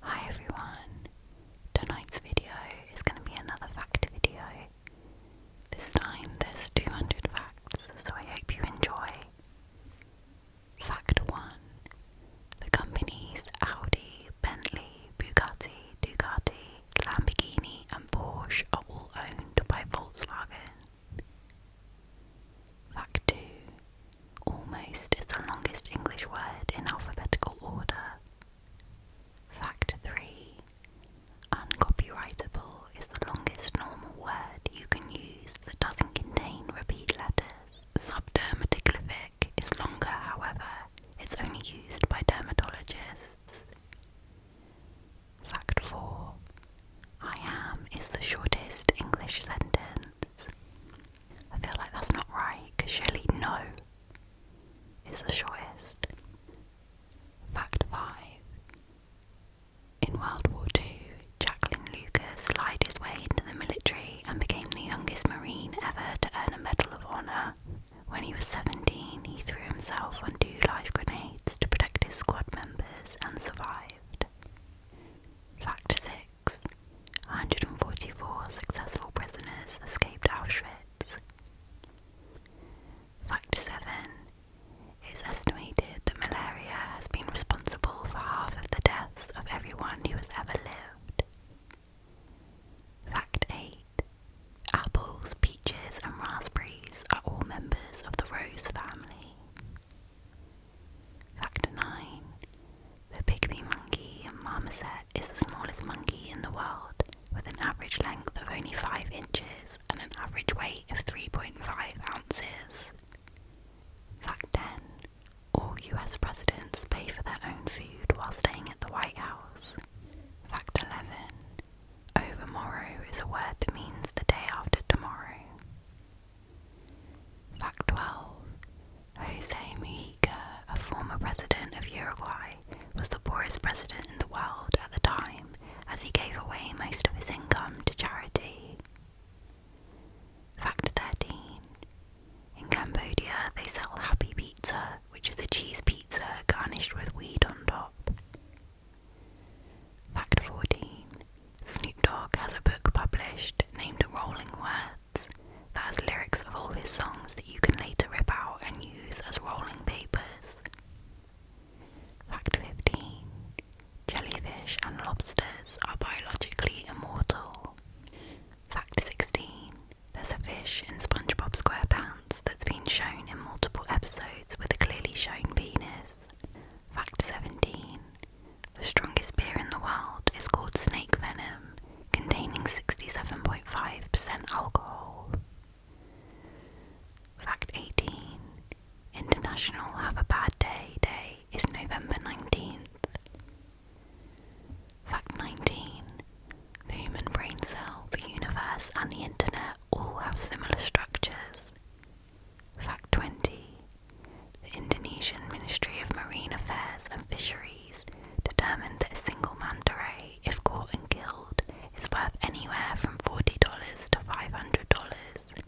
Hi everyone! Tonight's video is going to be another fact video. This time there's 200 facts, so I hope you enjoy. Fact 1 The companies Audi, Bentley, Bugatti, Ducati, Lamborghini, and Porsche are all owned by Volkswagen. Fact 2 Almost is the longest English word in alphabetical order. Fact 3. Uncopyrightable is the longest normal word you can use that doesn't contain repeat letters. Subdermatoglyphic is longer, however, it's only used by dermatologists. Fact 4. I am is the shortest English sentence words. I feel like that's not right, because surely no is the shortest. Fact 5. In World War II, Jacqueline Lucas slid his way into the military and became the youngest Marine ever to earn a Medal of Honor. When he was 17, he threw himself on two live grenades to protect his squad members and survived. Fact 144 successful prisoners escaped Auschwitz. Fact 7. It's estimated that malaria has been responsible for half of the deaths of everyone who has ever lived. Fact 8. Apples, peaches, and raspberries are all members of the rose family. Fact 9. The pygmy monkey marmoset is the smallest monkey in the world, with an average length of only 5 inches and an average weight of 3.5 ounces. Fact 10. All US presidents pay for their own food while staying at the White House. Fact 11. Overmorrow is a word that means the day after tomorrow. Fact 12 Jose Mujica, a former president of Uruguay, was the poorest president in the world at the time as he gave away most of his income to charity. Fact 13 In Cambodia, they sell Happy Pizza, which is a cheese pizza garnished with weed on top. Fact 14 Snoop Dogg has a book published named Rolling Words that has lyrics of all his songs that you can later rip out and use as rolling papers. Fact 15 Jellyfish and lobsters are biologically immortal. Fact 16 There's a fish in SpongeBob SquarePants that's been shown in multiple episodes with a clearly shown penis. Fact 17 the strongest beer in the world is called Snake Venom, containing 67.5% alcohol. Fact 18 International Have a Bad Day Day is November 19th. Fact 19 The human brain cell, the universe, and the internet all have similar structures. Fact 20 the Indonesian Ministry of Marine Affairs and Fisheries determined that a single manta ray, if caught and killed, is worth anywhere from $40 to $500.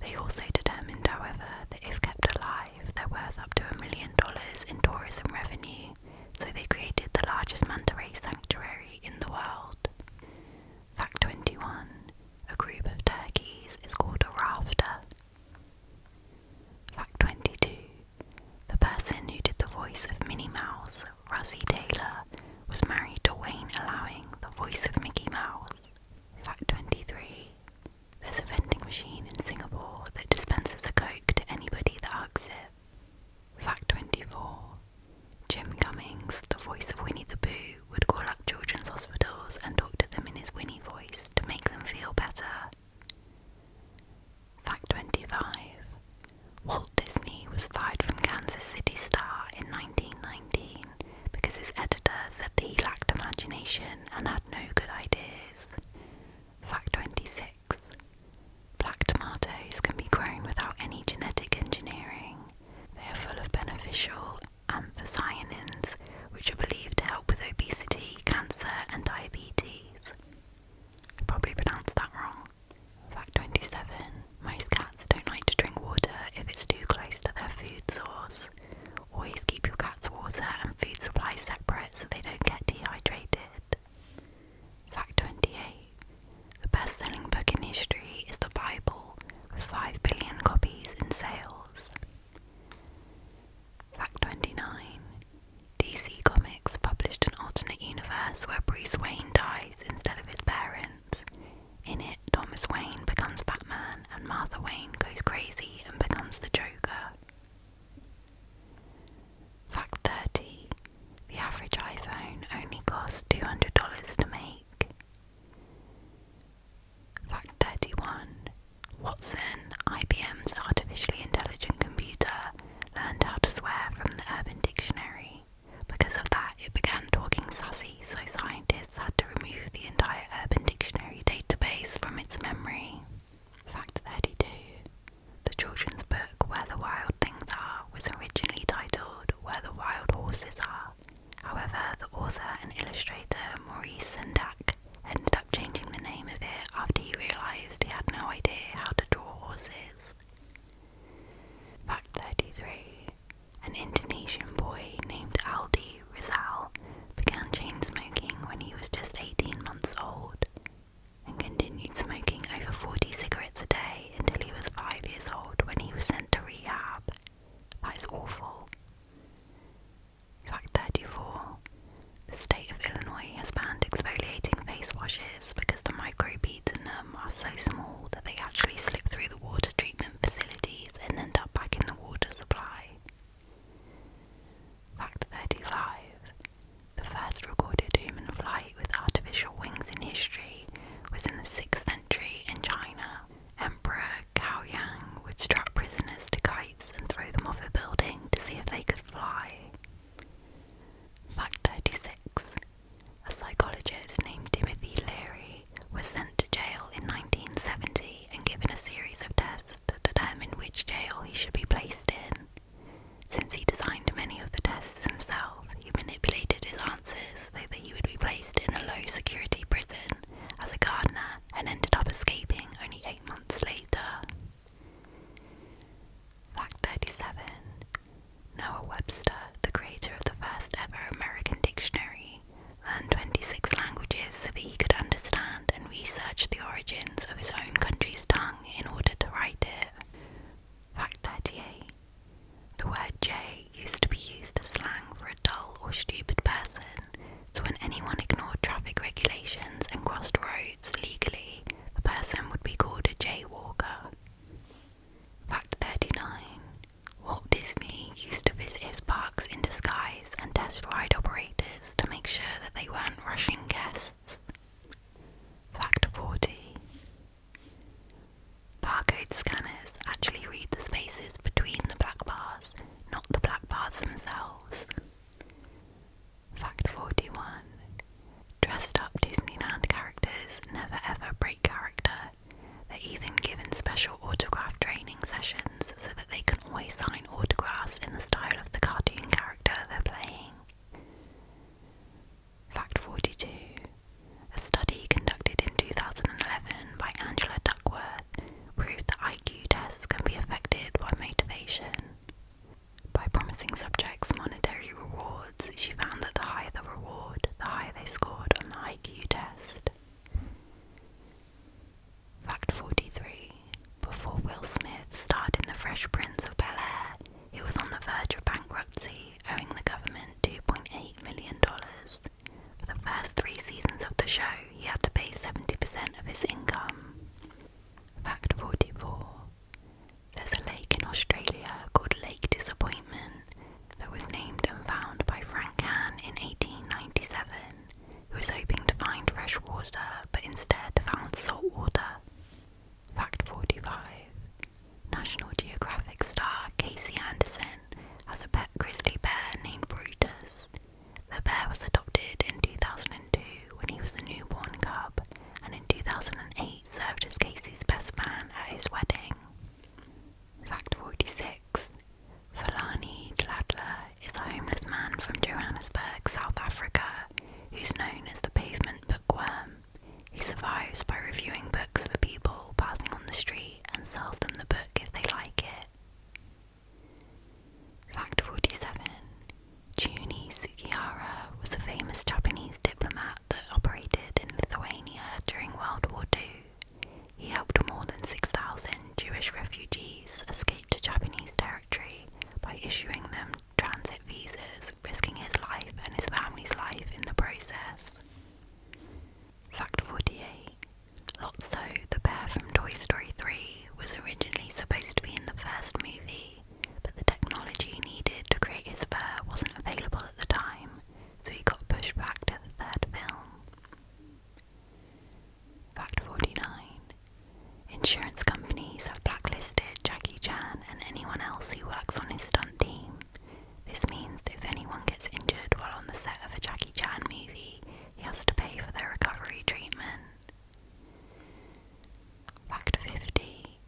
They also determined, however, that if kept alive, they're worth up to a million dollars in tourism revenue, so they created the largest manta ray sanctuary in the world. Fact 21 A group of turkeys is called a rafter, Fact 22 The person who did the voice of Minnie Mouse, Rosie Taylor, was married to Wayne Allowing, the voice of Mickey Mouse. Fact 23 There's a vending machine in Singapore that dispenses a Coke to anybody that hugs it. Fact 24 Jim Cummings, the voice of Winnie the Pooh, would call up children's hospitals and talk to them in his Winnie voice to make them feel better. Fact 25 Walt Disney was fired from Kansas City Star in 1919 because his editor said that he lacked imagination and had no good ideas. Fact 26 Black tomatoes can be grown without any genetic engineering. They are full of beneficial anthocyanins, which are believed to help with obesity, cancer, and diabetes. I probably pronounced that wrong. Fact 27 Most cats don't like to drink water if it's too close to their food source. Always keep your cat's water and food supply separate so they don't get dehydrated. Fact 28 The best selling book in history is the Bible, with 5 billion copies in sales. Fact 29 DC Comics published an alternate universe where Bruce Wayne dies instead of his parents. In it, Thomas Wayne becomes Batman and Martha Wayne goes crazy and becomes the Joker. Fact 30 The average iPhone only costs $200 to make. Fact 31 Watson, IBM's artificially intelligent computer, learned how to swear from the Urban Dictionary. Because of that, it began talking sassy, so scientists had to remove the entire Urban Dictionary database from its memory. Fact 32 The children's book Where the Wild Things Are was originally titled Where the Wild Horses Are However, the author and illustrator Maurice Sendak ended up changing the name of it after he realised he had no idea how to draw horses. Fact 33 An Indonesian boy named Aldi Rizal began chain smoking when he was just 18 months old and continued smoking over 40 cigarettes a day until he was 5 years old when he was sent to rehab. That is awful. Fact 34. The state of Illinois has banned exfoliating face washes because the microbeads in them are so small that they actually slip through the water treatment facilities and end up back in the water supply. Fact 35. The first recorded human flight with artificial wings in history was in the 6th century in China. Emperor Kao Yang would strap prisoners to kites and throw them off a building to see if they could fly. Fact 36 A psychologist named Timothy Leary was sent to jail in 1970 and given a series of tests to determine which jail he should be placed in. Since he designed many of the tests himself, he manipulated his answers so that he would be placed in a low security prison as a gardener and ended up escaping only eight months later. Fact 37 Noah Webster, the creator of the first ever American dictionary, learned 26 languages so that he could understand and research the origins of his own country's tongue in order to write it. Fact 38 The word "jay" used to be used as slang for a dull or stupid person so when anyone ignored traffic regulations and crossed roads legally, the person would be called a jaywalker. Fact 39. Walt Disney used to visit his parks in disguise and test ride operators to make sure that they weren't rushing guests. Fact 40. Barcode scanners actually read the spaces between the black bars not the black bars themselves. Fact 41 Dressed up Disneyland characters never ever break character. They're even given special autograph training sessions so that they can always sign autographs in the style of the cartoon character they're playing. Fact 42 A study conducted in 2011 by Angela Duckworth proved that IQ tests can be affected by motivation. By promising subjects monetary rewards, she found that the higher the reward, the higher they scored on the IQ test. Fact 43 Before Will Smith starred in The Fresh Prince of Bel Air, he was on the verge of bankruptcy, owing the government $2.8 million. For the first three seasons of the show, he had to pay 70% of his income. Fact 44 There's a lake in Australia called Lake Disappointment that was named and found by Frank Hahn in 1897, who was hoping to find fresh water but instead found salt water. Fact 45 National Geographic star Casey Anderson has a pet grizzly bear named Brutus, the bear was adopted in 2002 when he was a newborn cub, and in 2008 served as Casey's best man at his wedding. Fact 46 Fulani Gladler is a homeless man from Johannesburg, South Africa, who's known as the pavement bookworm. He survives by reviewing books for people passing on the street and sells them the book if they like it. Fact 47 Juni Sugihara was a famous Japanese diplomat that operated in Lithuania during World War II. He helped more than 6,000 Jewish refugees escape to Japanese territory by issuing them transit visas, risking his life and his family's life in the process. Fact 48 Lotso, the bear from Toy Story 3, was originally supposed to be in the first movie, but the technology needed to create his fur wasn't available at the time, so he got pushed back to the third film. Fact 49 Insurance companies have blacklisted Jackie Chan and anyone else who works on his stunt team. This means that if anyone gets injured while on the set of a Jackie Chan movie, he has to pay for their recovery treatment. Fact 50.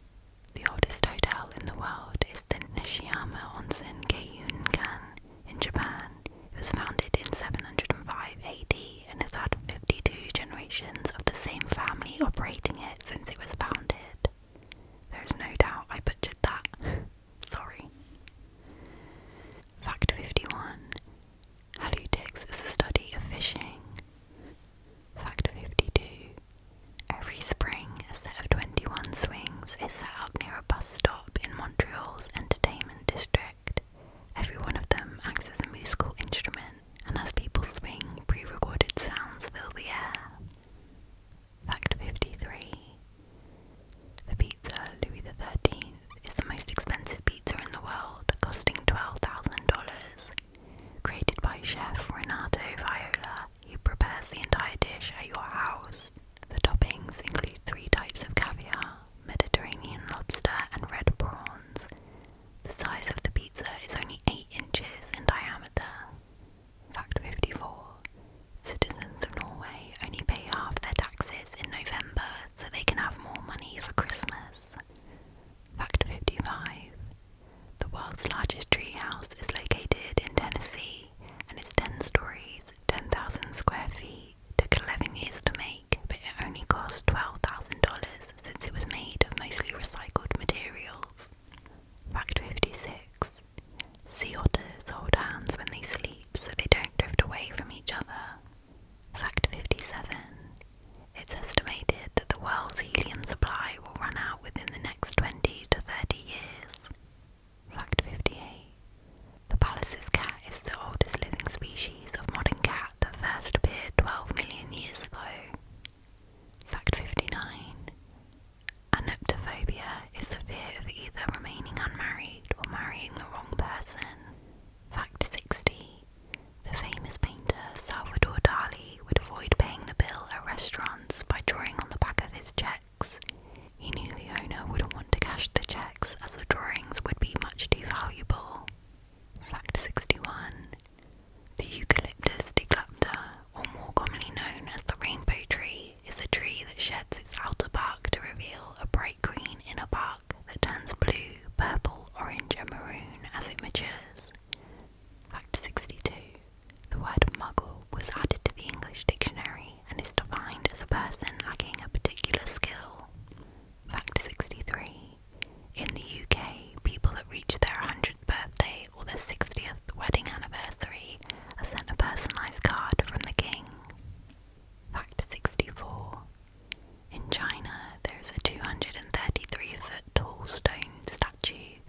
The oldest hotel in the world is the Nishiyama Onsen Keiyunkan in Japan. It was founded in 705 AD and has had 52 generations of the same family operating it since it was founded. There is no doubt I butchered that. Sorry. Fact 51 Halutics is a study of fishing. Fact 52 Every spring, a set of 21 swings is set up near a bus stop in Montreal's entertainment district. Every one of them acts as a musical instrument, and as people swing, pre recorded sounds fill the air. Fact 53 the pizza Louis XIII is the most expensive pizza in the world, costing $12,000. Created by chef Renato Viola, who prepares the entire dish at your house. The toppings include three types of caviar, Mediterranean lobster, and red prawns. The size of the pizza is only 8 inches in diameter. Fact 54 Citizens of Norway only pay half their taxes in November so they can have more money for Christmas. Fact 55 The world's largest treehouse is located in Tennessee and it's 10 stories, 10,000 square feet. Took 11 years to make, but it only cost $12,000 since it was made of mostly recycled materials. Fact 56 Sea otters hold hands when they sleep so they don't drift away from each other. Fact 57. It's estimated that the world's helium supply will run out within the next 20 to 30 years. Fact 58. The Pallas's cat is the oldest living species of modern cat that first appeared 12 million years ago. Fact 59. Anoptophobia is the fear of either remaining unmarried or marrying the wrong person. Fact 60. The famous painter Salvador Dali would avoid paying the bill at restaurants by drawing on the back of his cheques. He knew the owner wouldn't want to cash the cheques as the drawings would be much too valuable. Fact 61. The eucalyptus declupta, or more commonly known as the rainbow tree, is a tree that sheds its outer bark to reveal a bright green inner bark that turns blue, purple, orange, and maroon as it matures. Fact 62. The word muggle was added to the English dictionary and is defined as a person lacking a particular skill. Fact 63. In the UK, people that reach their 100th birthday or their 60th wedding anniversary are sent a personalised card from the king. Fact 64. In China, there's a 233 foot tall stone statue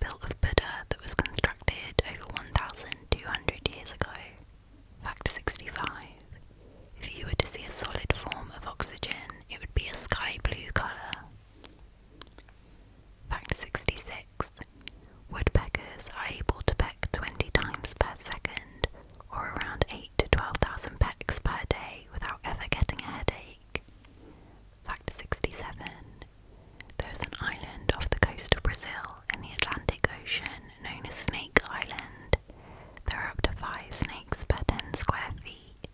built of Buddha that was constructed over 1,200 years ago. Fact 65. If you were to see a solid form of oxygen, it would be a sky blue colour. Fact 66. Woodpeckers are able to peck 20 times per second, or around 8 to 12,000 pecks per day without ever getting a headache. Fact 67. There is an island off the coast of Brazil in the Atlantic Ocean known as Snake Island. There are up to 5 snakes per 10 square feet.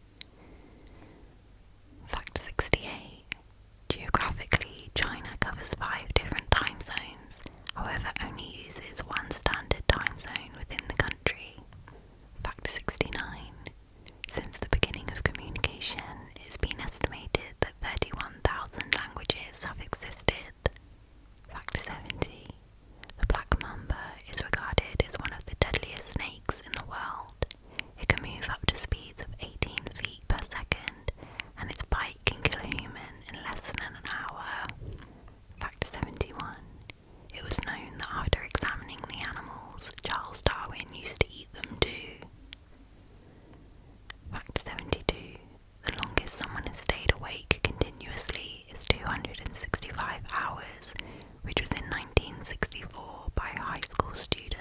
Fact 68. Geographically, China covers 5 different time zones however, only uses one standard time zone within the country. Fact 69. Since the beginning of communication, it's been estimated that 31,000 languages have existed. Fact 70. The black mamba is regarded as one of the deadliest snakes in the world. It can move up to speeds of 18 feet per second and its bike can kill a human in less than an hour. Fact 71. It was known that after examining the animals, Charles Darwin used to eat them too. Fact 72. The longest someone has stayed awake continuously is 265 hours, which was in 1964 by a high school student.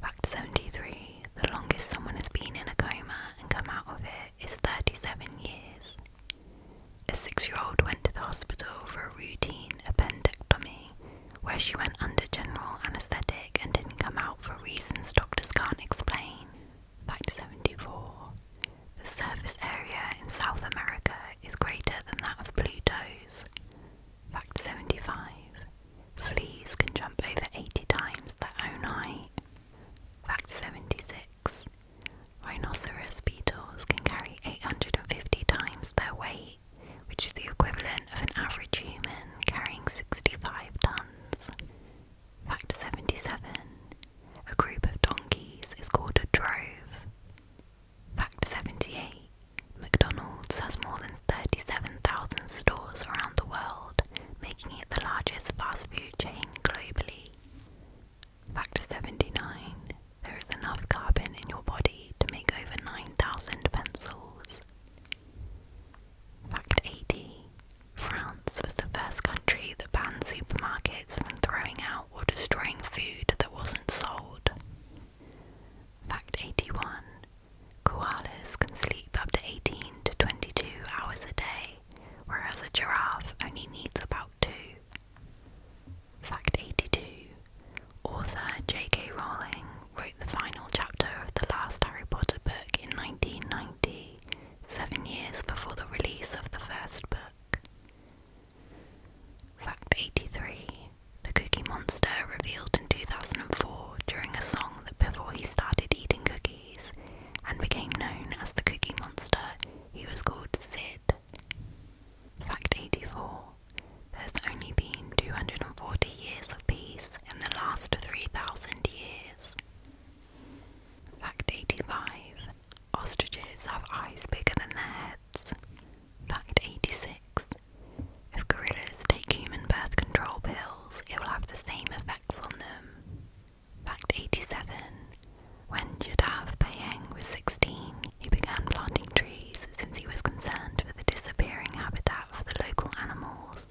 Fact 73 the longest someone has been in a coma and come out of it is 37 years. A six year old went to the hospital for a routine appendectomy, where she went under general anaesthetic and didn't come out for reasons doctors can't explain. Fact 74 The surface area in South America is greater than that of Pluto's. Fact 75 Fleas can jump over 80 times their own height. Fact 76 Rhinoceros beetles can carry 850 times their weight, which is the equivalent of an average human carrying 65 tons. Fact 77 A group of donkeys is called a drove. Fact 78 McDonald's has more than 37,000 stores around the world making it the largest fast food chain globally. Factor 79 There is enough carbon in your body to make over 9,000 pencils. Fact 80 France was the first country that banned supermarkets from throwing out or destroying food that wasn't sold. Fact 81 Koalas can sleep up to 18 to 22 hours a day, whereas a giraffe only needs about two. Fact 82 Author J.K. Rowling wrote the final chapter of the last Harry Potter book in nineteen ninety, seven seven years before the release of the first book. Fact 83 The Cookie Monster revealed in 2004 during a song that before he started eating cookies, and became known as the Cookie Monster. He was called Sid. Fact 84 There's only been 240 years of peace in the last 3,000 years. Fact 85 Ostriches have eyes bigger than their heads. Fact 86 If gorillas take human birth control pills, it will have the same effect effects Fact 87. When Jadav Payeng was 16, he began planting trees since he was concerned for the disappearing habitat for the local animals.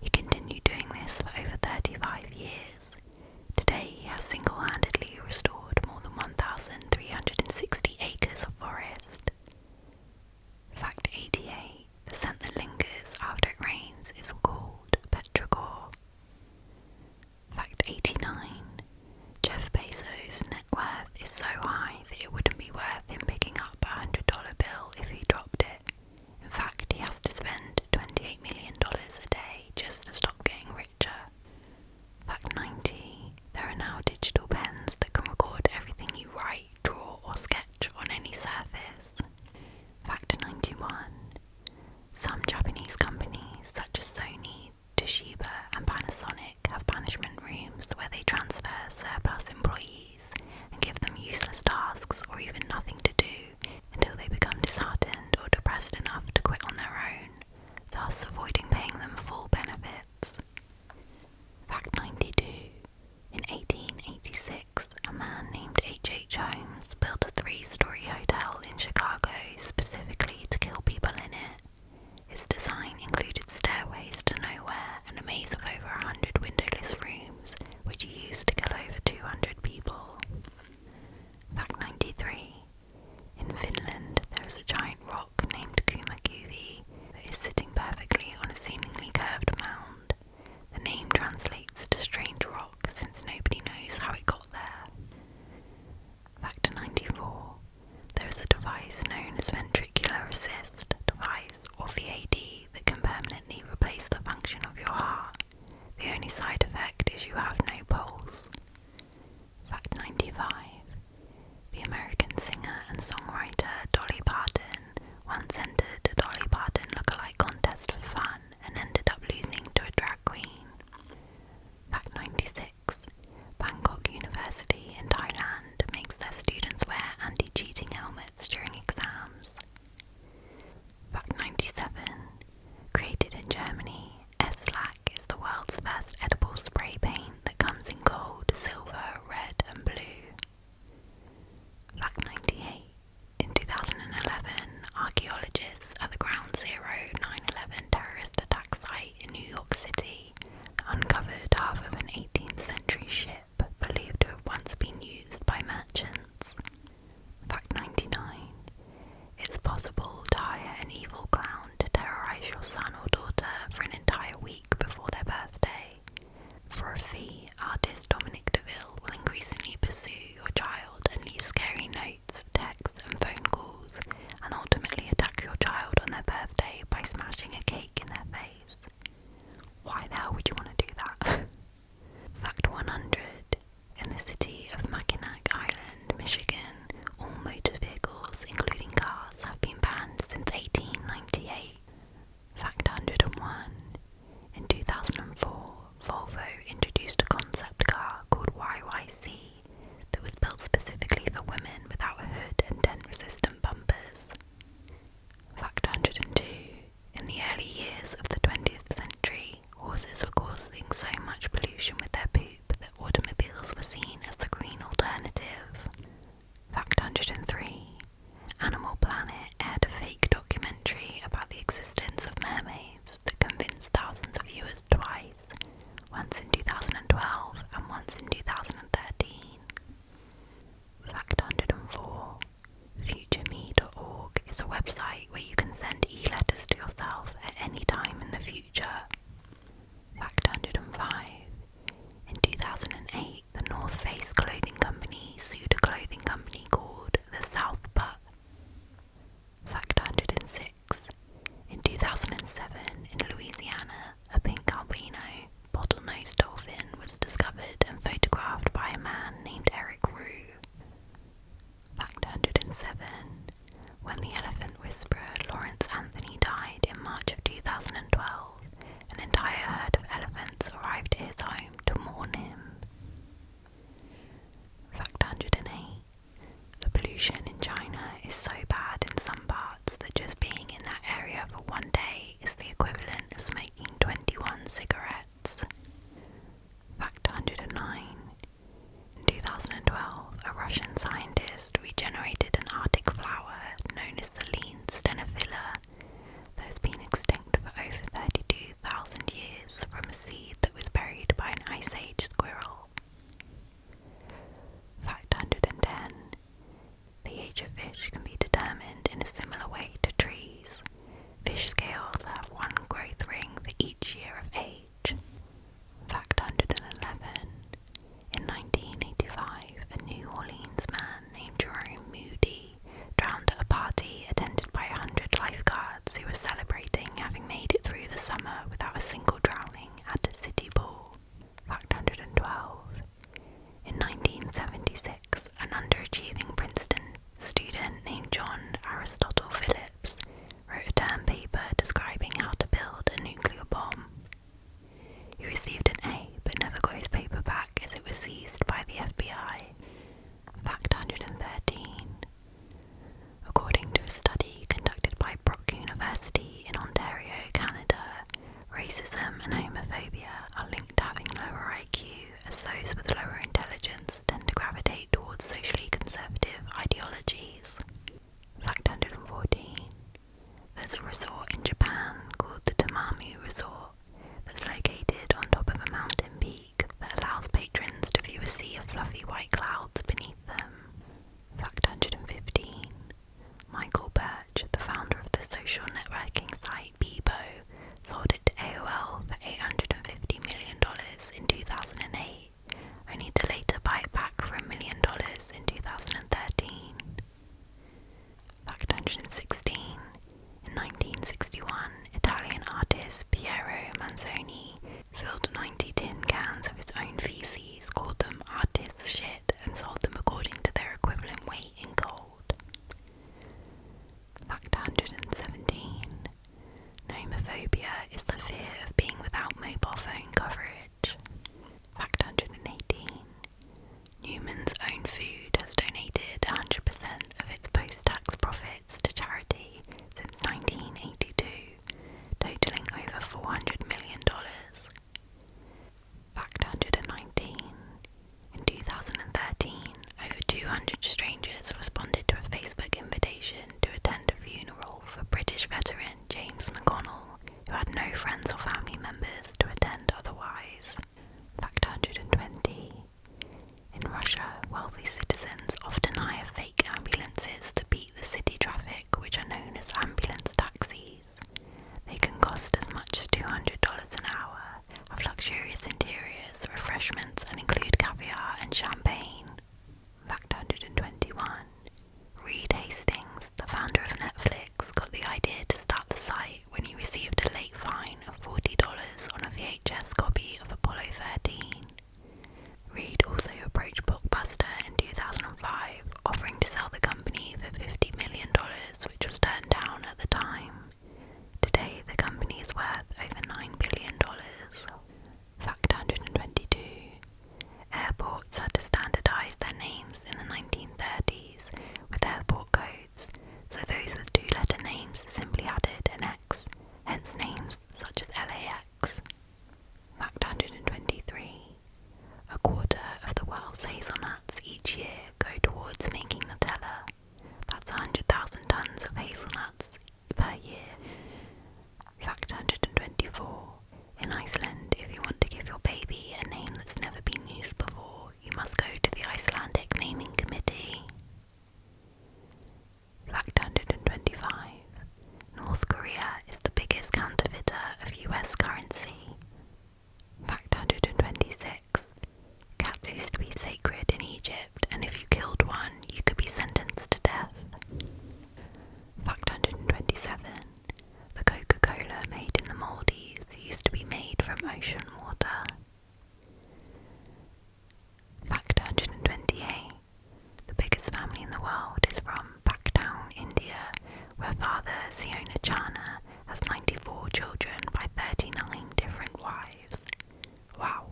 He continued doing this for over 35 years. Today he has single handedly restored more than 1,360 acres of forest. Fact 88 the scent that lingers after it rains is called petrichor. Fact 89 Jeff Bezos' net worth is so high that it wouldn't be worth him picking up a $100 bill if he dropped it. In fact, he has to spend $28 million a day just to stop getting richer. Fact 90 There are now digital pens that can record everything you write, draw, or sketch on any surface. Fact 91 Some Japanese companies, such as Sony, Toshiba, and Panasonic, have punishment rooms where they transfer surplus employees and give them useless tasks or even nothing to do until they become disheartened or depressed enough to quit on their own, thus avoiding paying them full benefits. Fact 92 in 1886, a man named H. H. Holmes built a three story hotel in Chicago specifically to kill people in it. His design included stairways to nowhere and a maze of over 100 windowless rooms, which he used to kill over 200 people. Fact 93 In Finland, there is a giant rock named Kumakuvi that is sitting perfectly on a seemingly curved mound. The name translates to strange rock since nobody knows how it got there. Factor 94. There is a device known as ventricular assist device or VAD that can permanently replace the function of your heart. The only side effect is you have no pulse. Fact 95. The American singer and songwriter Dolly Parton once entered a Dolly Parton lookalike contest for fun and ended up losing to a drag queen. Fact 96 Bangkok University in Thailand makes their students wear anti cheating helmets during exams. Fact 97 Created in Germany, S-Lac is the world's first edible spray paint that comes in gold, silver, red, and blue. Fact 98 in 2011, archaeologists at the Ground Zero 9 11 terrorist attack site in New York City uncovered half of an 18th century ship believed to have once been used by merchants. Fact 99 It's possible to hire an evil clown to terrorize your son or daughter for an entire week before their birthday for a fee, artist Dominic DeVille will increasingly pursue your child and leave scary notes, texts, and phone calls, and ultimately attack your child on their birthday by smashing a cake in their face. Why the hell would you want to do that? Fact 100 In the city of Mackinac Island, Michigan, all motor vehicles, including cars, have been banned since 1898. Fact 101. In 2004, Volvo introduced a concept car called YYC that was built specifically for women without a hood and dent resistant bumpers. Fact 102. In the early years of the 20th century, horses were causing so much pollution with their poop that automobiles were seen as the green alternative. Fact 103. Animal Planet aired a fake documentary about the existence of mermaids that convinced thousands of viewers twice, once in 2012 and once in 2013. Fact 104 FutureMe.org is a website where you can send e letters to yourself at any time in the future. Fact 105 In 2008, the North Face clothing company sued a clothing company called the South Putt. Fact 106. In 2007, in Louisiana, a pink albino bottlenose dolphin was discovered and photographed by a man named Eric Rue. Fact 107. When the elephant whisperer Lawrence Anthony died in March of 2012, an entire herd of elephants arrived at his home to mourn him. Fact 108 The pollution in China is so bad in some parts that just being in that area for one day is the equivalent of smoking 21 cigarettes. Fact 109 In 2012, a Russian scientist regenerated an Arctic flower known as the lean stenophylla that has been extinct for over 32,000 years from a seed that was buried by an Ice Age squirrel. Fact 110 The age of fish can be determined in a similar way to trees. Fish scales have one growth ring for each year of age. Fact 111 In 1985, a New Orleans man named Jerome Moody drowned at a party attended by 100 lifeguards who were celebrating having made it through the summer without a single drowning at a city pool. Fact 112. In 1976, an underachieving Princeton student named John Aristotle Phillips wrote a term paper describing how to build a nuclear bomb. He received an A but never got his paper back as it was seized by the FBI. Fact 113. According to a study conducted by Brock University in Ontario, Canada, racism and homophobia are linked to having lower IQ, as those with lower intelligence tend to gravitate towards socially conservative ideologies. Fact 114. There's a resort in Japan called the Tamami Resort that's located on top of a mountain peak that allows patrons to view a sea of fluffy white clouds beneath them. Fact 115 Michael Birch, the founder of the social networking site Bebo, sold it to AOL for $850 million in 2008, only to later buy it back for a million dollars in 2013. 116. in 1961, Italian artist Piero Manzoni filled 90 tin cans of his own feces, called them artist's shit, and sold them according to their equivalent weight in gold. Fact 117 Nomophobia is the fear of being without mobile phone coverage. Fact 118 Newman's Own Food has donated 100% of its post tax profits to charity since 1982, totaling over $400 million. Fact 119. In 2013, over 200 strangers responded to a Facebook invitation to attend a funeral for British veteran James McConnell, who had no friends or family members to attend otherwise. Fact 120. In Russia, wealthy citizens often hire fake ambulances to beat the city traffic, which are known as ambulance taxis. They can cost as much as $200 an hour, have luxurious interiors, refreshments, and include caviar and champagne. Fact 121. Reed Hastings, the founder of Netflix, got the idea to start the site when he received a late fine of $40 on a VHS copy of Apollo 13. Reed also approached Blockbuster in 2005, offering to sell the company for $50 million, which was turned down at the time. Today, the company is worth over $9 billion. Fact 122 Airports had to standardise their names in the 1930s, with airport codes so those with two letter names simply added an X, hence names such as LAX. Fact 123. A quarter of the world's hazelnuts each year go towards making Nutella. That's 100,000 tons of hazelnuts per year. Fact 124. In Iceland, if you want to give your baby a name that's never been used before, you must go to the Icelandic Naming Committee. Fact 125 North Korea is the biggest counterfeiter of US currency. Fact 126 Cats used to be sacred in Egypt, and if you killed one, you could be sentenced to death. Fact 127 The Coca Cola made in the Maldives used to be made from ocean water. Fact 128 The biggest family in the world is from Backtown, India, where father Siona Chana has 94 children by 39 different wives. Wow.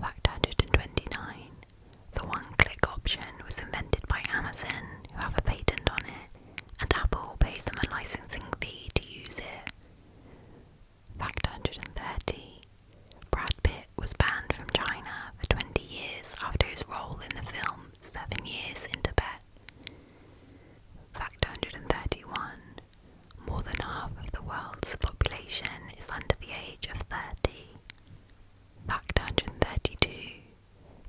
Fact 129 The one click option was invented by Amazon, who have a patent on it, and Apple pays them a licensing fee to use it. Fact 130 Brad Pitt was banned from China for 20 years after his role in the film Seven Years in Tibet. Fact 131 More than half of the world's population is under the age of 30. Fact 132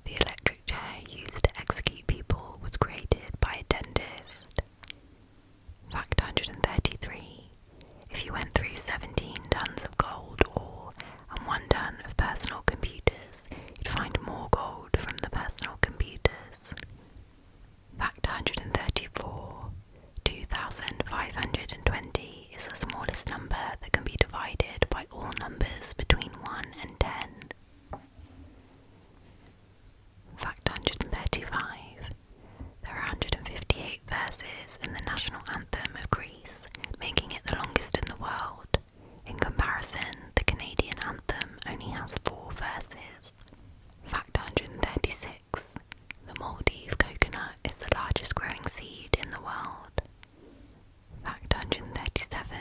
the electric chair used to execute people was created by a dentist. Fact 133. If you went through 17 tons of gold ore and 1 ton of personal computers, you'd find more gold from the personal computers. Fact 134. 2520 is the smallest number that can be divided by all numbers between 1 and 10. Fact 135 There are 158 verses in the national anthem of Greece, making it the longest in the world. In comparison, the Canadian anthem only has four verses. Fact 136 The Maldive coconut is the largest growing seed in the world. Fact 137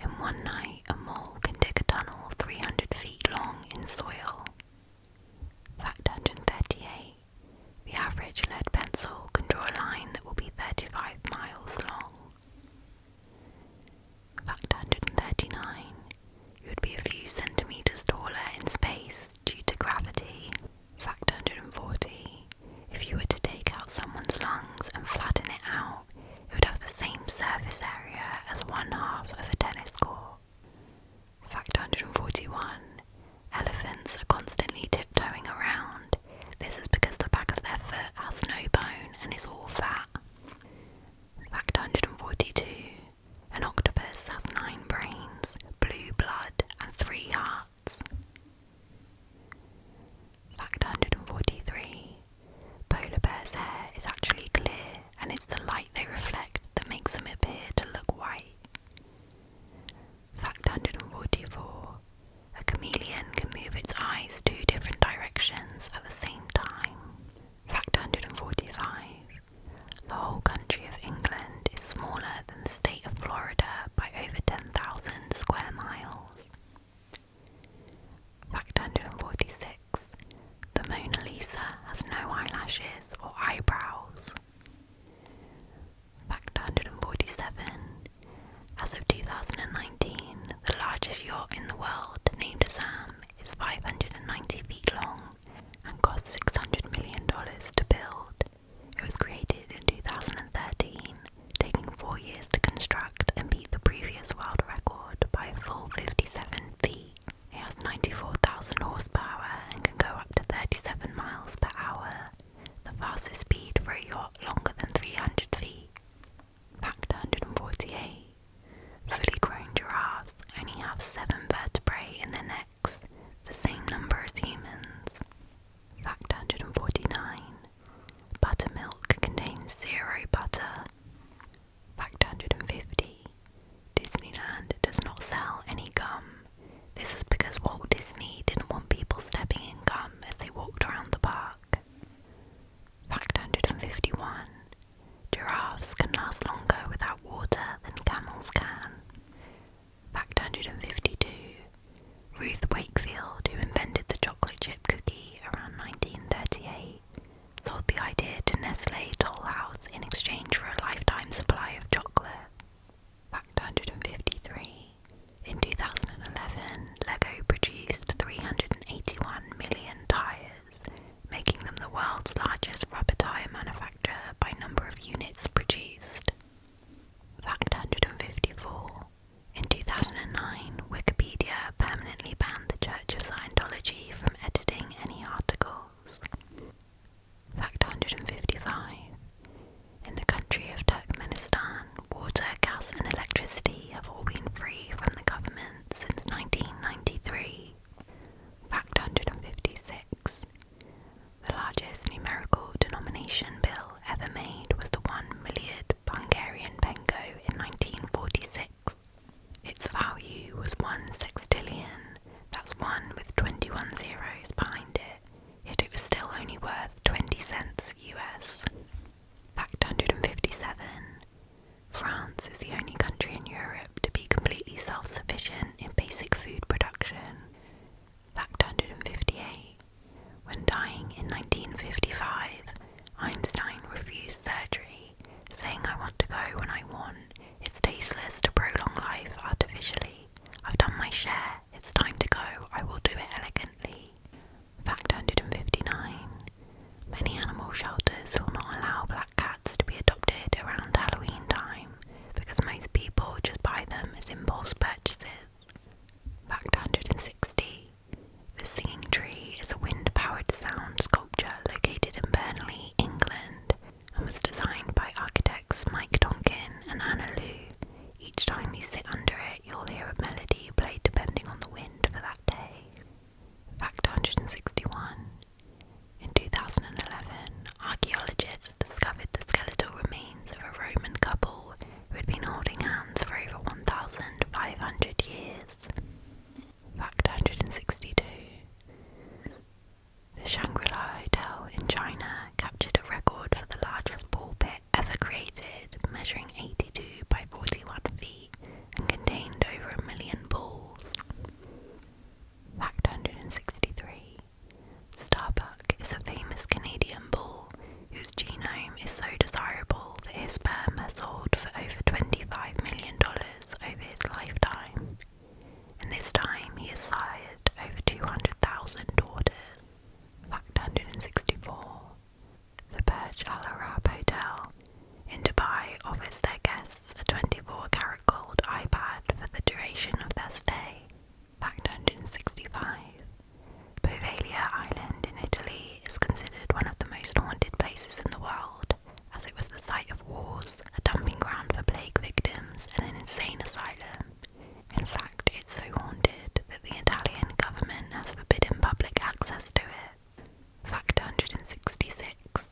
in one night, a mole can dig a tunnel 300 feet long in soil. Fact 138. The average lead pencil can draw a line that will be 35 miles long. Fact 139. You would be a few centimetres taller in space due to gravity. Fact 140. If you were to take out someone's lungs and flatten it out, it would have the same surface area as one half of a tennis court. Fact 141 Elephants are constantly tiptoeing around. This is because the back of their foot has no bone and is all fat. Fact 142 An octopus has nine brains, blue blood, and three hearts. Fact 143 Polar bears' hair is actually clear, and it's the light they reflect that makes them appear to look white. Fact 144 A chameleon can move its eyes two different directions at the same time. Fact 145 The whole country of England is smaller than the state of Florida by over 10,000 square miles. Fact 146 The Mona Lisa has no eyelashes or eyebrows. Fact 147 As of 2019, the largest yacht in the world, named Sam, is 590 feet long and cost $600 million to build. It was created in 2013 taking four years to construct and beat the previous world record by a full 57 feet. It has 94,000 horsepower and can go up to 37 miles per hour, the fastest speed for a yacht longer than 300 feet. Fact 148 Fully grown giraffes only have 7 vertebrae in their necks, the same number as humans. Fact 149 Buttermilk contains zero butter. Fact 150. Disneyland does not sell any gum. This is because Walt Disney didn't want people stepping in gum as they walked around the park. Fact 151. Giraffes can last longer without water than camels can. Fact 152. Ruth Wakefield, who invented the chocolate chip cookie, around 1938 sold the idea to Nestle Tollhouse in exchange for a lifetime supply of chocolate. Fact 153. In 2011, Lego produced 381 million tyres, making them the world's largest rubber tyre manufacturer by number of units produced. Fact 154. In 2009, Wikipedia permanently banned the Church of Scientology from editing any articles. Fact 155. In the country of Turkmenistan, water, gas, and electricity have all been free from the government since 1993. Fact 156. The largest numerical denomination bill ever made was the $1 Hungarian Pengo in 1946. Its value was one sextillion, that's one with 21 zeros behind it, yet it was still only worth 20 cents US. Fact 157 France is the only country in Europe to be completely self sufficient in basic food production. Fact 158 when dying in 1955, Einstein refused surgery, saying, I want to go when I want. It's tasteless to prolong life artificially. I've done my share. It's time to go. I will do it elegantly. Fact 159. Many animal shelters will not allow black cats to be adopted around Halloween time because most people just buy them as impulse purchases. Fact 160. The Singing Tree is a wind powered sound sculpture located in Burnley, England, and was designed by architects Mike Donkin and Anna Lou. Each time you sit under it, you'll hear a melody played depending on the wind for that day. Fact 161 In 2011, archaeologists discovered the skeletal remains of a Roman couple who had been holding hands for over 1,500 years. Fact 162. The Shangri La Hotel in China captured a record for the largest ball pit ever created, measuring 82 by 41 feet and contained over a million balls. Fact 163. Starbuck is a famous Canadian ball whose genome is so desirable that his sperm has sold for over $25 million over his lifetime. In this time, he has sired over 200,000 daughters. Fact 164 The Burj Al Arab Hotel in Dubai offers their guests a 24 carat gold iPad for the duration of their stay. Fact 165 Bovalia Island in Italy is considered one of the most haunted places in the world, as it was the site of wars, a dumping ground for plague victims, and an insane asylum. In fact, it's so haunted that the Italian government has forbidden public access to it. Fact 166.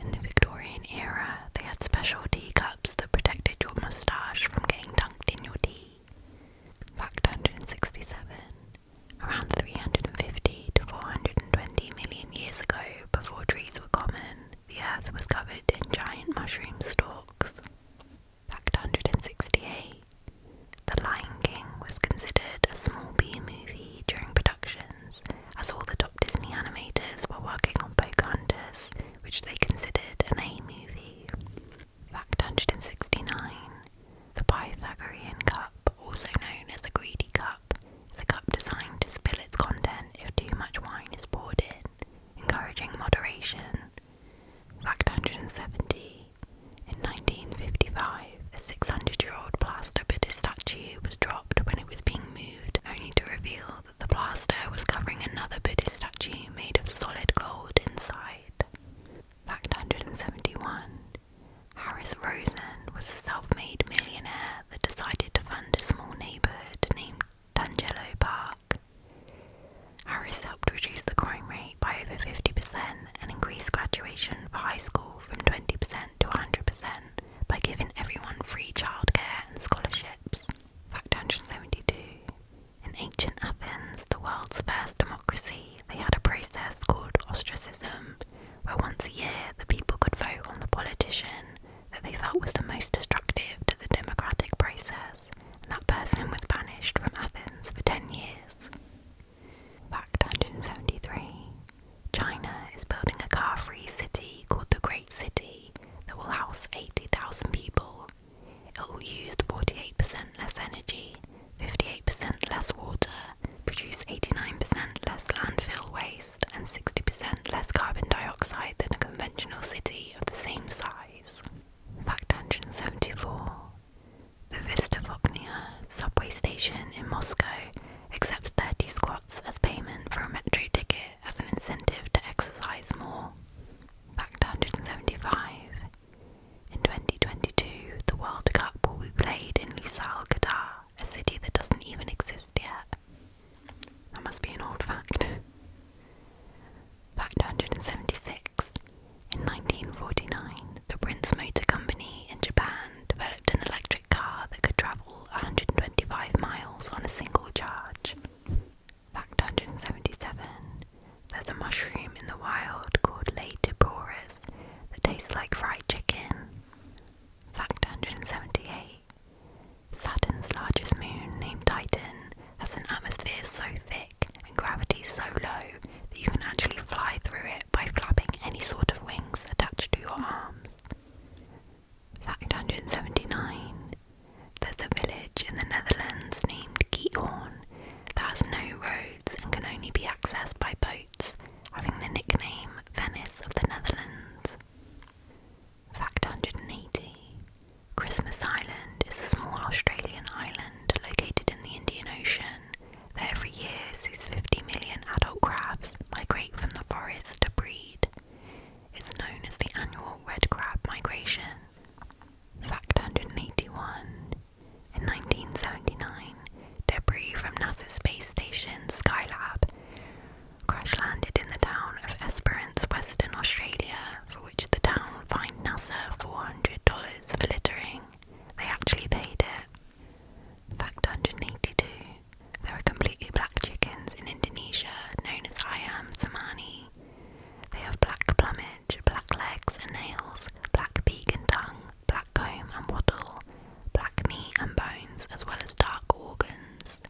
In the Victorian era, they had special teacups that protected your moustache from getting dunked in your tea. Fact 167 around 350 to 420 million years ago, before trees were common, the earth was covered in giant mushroom stalks. Fact 168 The Lion King was considered a small B movie during productions, as all the top Disney animators were working on Pocahontas, which they considered an A movie. Fact 169. The Pythagorean cup, also known as the greedy cup, is a cup designed to spill its content if too much wine is poured in, encouraging moderation. Fact 170. In 1955, a 600 year old plaster Buddhist statue was dropped when it was being moved, only to reveal that the plaster was covering another Buddhist statue made of solid gold inside. Fact 171 Harris Rosen was a self made millionaire that decided to fund a small neighbourhood named Tangelo Park. Harris helped reduce the crime rate by over 50% and increased graduation for high school from 20% to 100% by giving everyone free childcare and scholarships. Fact 172 In ancient Athens, the world's first democracy, they had a process called ostracism, where once a year the people could vote on the politician that they felt was the most destructive to the democratic process, and that person was banished from Athens for 10 years. Fact 173 China is building a car free city called the Great City that will house 80,000 people. It will use 48% less energy 58% less water, produce 89% less landfill waste, and 60% less carbon dioxide than a conventional city of the same size. Fact 174 The Vista subway station in Moscow accepts 30 squats as payment for a metro ticket as an incentive to exercise more. Fact 175 in 2022, the World Cup will be played in Lusail, Qatar, a city that doesn't even exist yet. That must be an old fact. Fact 176. In 1949, the Prince Motor Company in Japan developed an electric car that could travel 125 miles on a single charge. Fact 177. There's a mushroom in the wild called Latiborus that tastes like fried chicken. Fact 178. Saturn's largest moon, named Titan, has an atmosphere so thick and gravity so low that you can actually fly through it by flapping any sort of wings attached to your arms. Fact 179. There's a village in the Netherlands named Geethorn that has no roads and can only be accessed by boats, having the nickname Venice of the Netherlands. Fact 180 Christmas Island is a small Australian island located in the Indian Ocean that every year sees 50 million adult crabs migrate from the forest to breed. It's known as the annual red crab migration. Fact 181 in 1979, debris from NASA's space station Skylab crash landed in the town of Esperance, Western Australia, for which the town fined NASA $400 for littering. They actually paid it. Fact 182 There are completely black chickens in Indonesia known as Ayam Samani. They have black plumage black legs and nails, black beak and tongue, black comb and wattle, black meat and bones, as well as dark organs.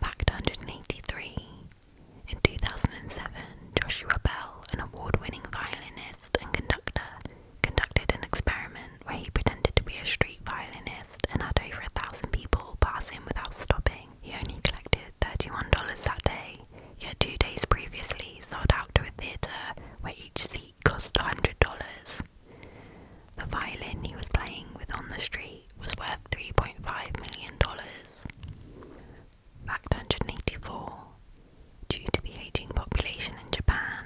Back to 183. In 2007, Joshua Bell, an award winning violinist and conductor, conducted an experiment where he pretended to be a street violinist and had over a thousand people pass him without stopping. He only collected $31 that day yet two days previously sold out to a theatre where each seat cost $100. The violin he was playing with on the street was worth $3.5 million. Fact 184. Due to the aging population in Japan,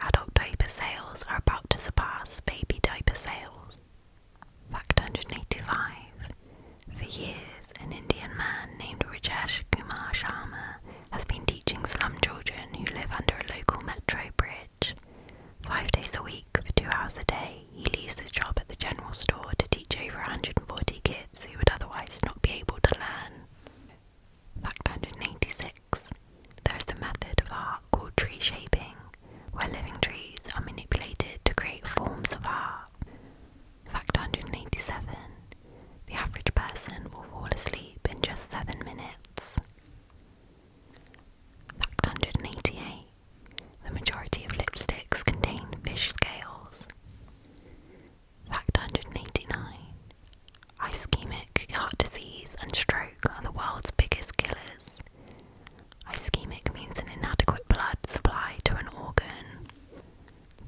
adult diaper sales are about to surpass baby diaper sales. Fact 185. For years, an Indian man named Rajesh Kumar Sharma has been teaching slum children who live under a local metro bridge. Five days a week, for two hours a day, he leaves his job at the general store to teach over 140 kids who would otherwise not be able to learn. Fact 186. There is a method of art called tree shaping, where living trees are manipulated to create forms of art. Fact 187 The average person will fall asleep in just 7 minutes. Fact 188 The majority of lipsticks contain fish scales. Fact 189 Ischemic heart disease and stroke are the world's biggest killers. Ischemic means an inadequate blood supply to an organ.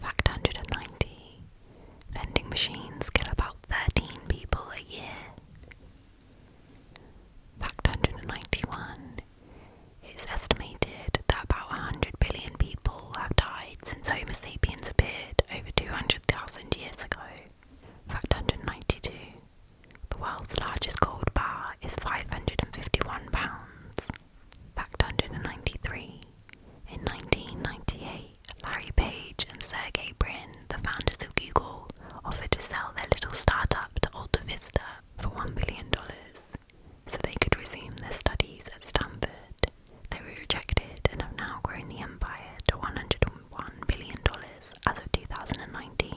Fact 190 Vending machines kill about 13 people a year. Fact 191 It's estimated that about 100 billion people have died since Homo sapiens appeared over 200,000 years ago. Fact 192 The world's largest gold bar is 551 pounds. Fact 193. In 1998, Larry Page and Sergey Brin, the founders of Google, offered to sell their little startup to Alta Vista for $1 billion so they could resume their studies at Stanford. They were rejected and have now grown the empire to $101 billion as of 2019.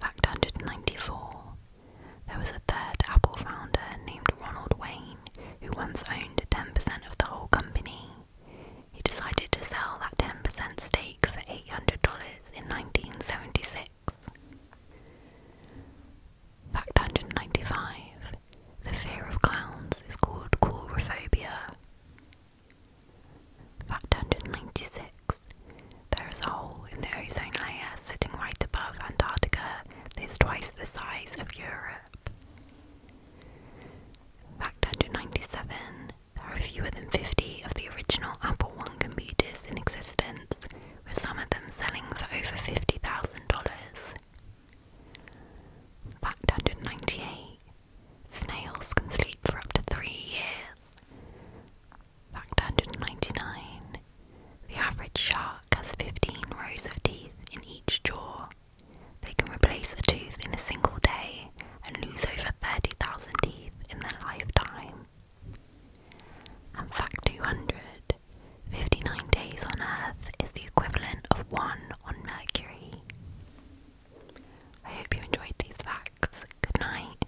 Fact 194 there was a third Apple founder named Ronald Wayne who once owned 10% of the whole company. He decided to sell that 10% stake for $800 in 1976. Fact 195 The fear of clowns is called coulrophobia. Fact 196 There is a hole in the ozone layer sitting right above Antarctica that's twice the size of Europe. Fact 197 There are fewer than 50 of the original Apple One computers in existence, with some of them selling for over $50,000. Fact 198 Snails can sleep for up to three years. Fact 199 The average shark has 15 rows of teeth in each jaw. They can replace a tooth in a single day and lose over 30,000 teeth in their lifetime. And fact two hundred fifty nine days on Earth is the equivalent of one on Mercury. I hope you enjoyed these facts. Good night.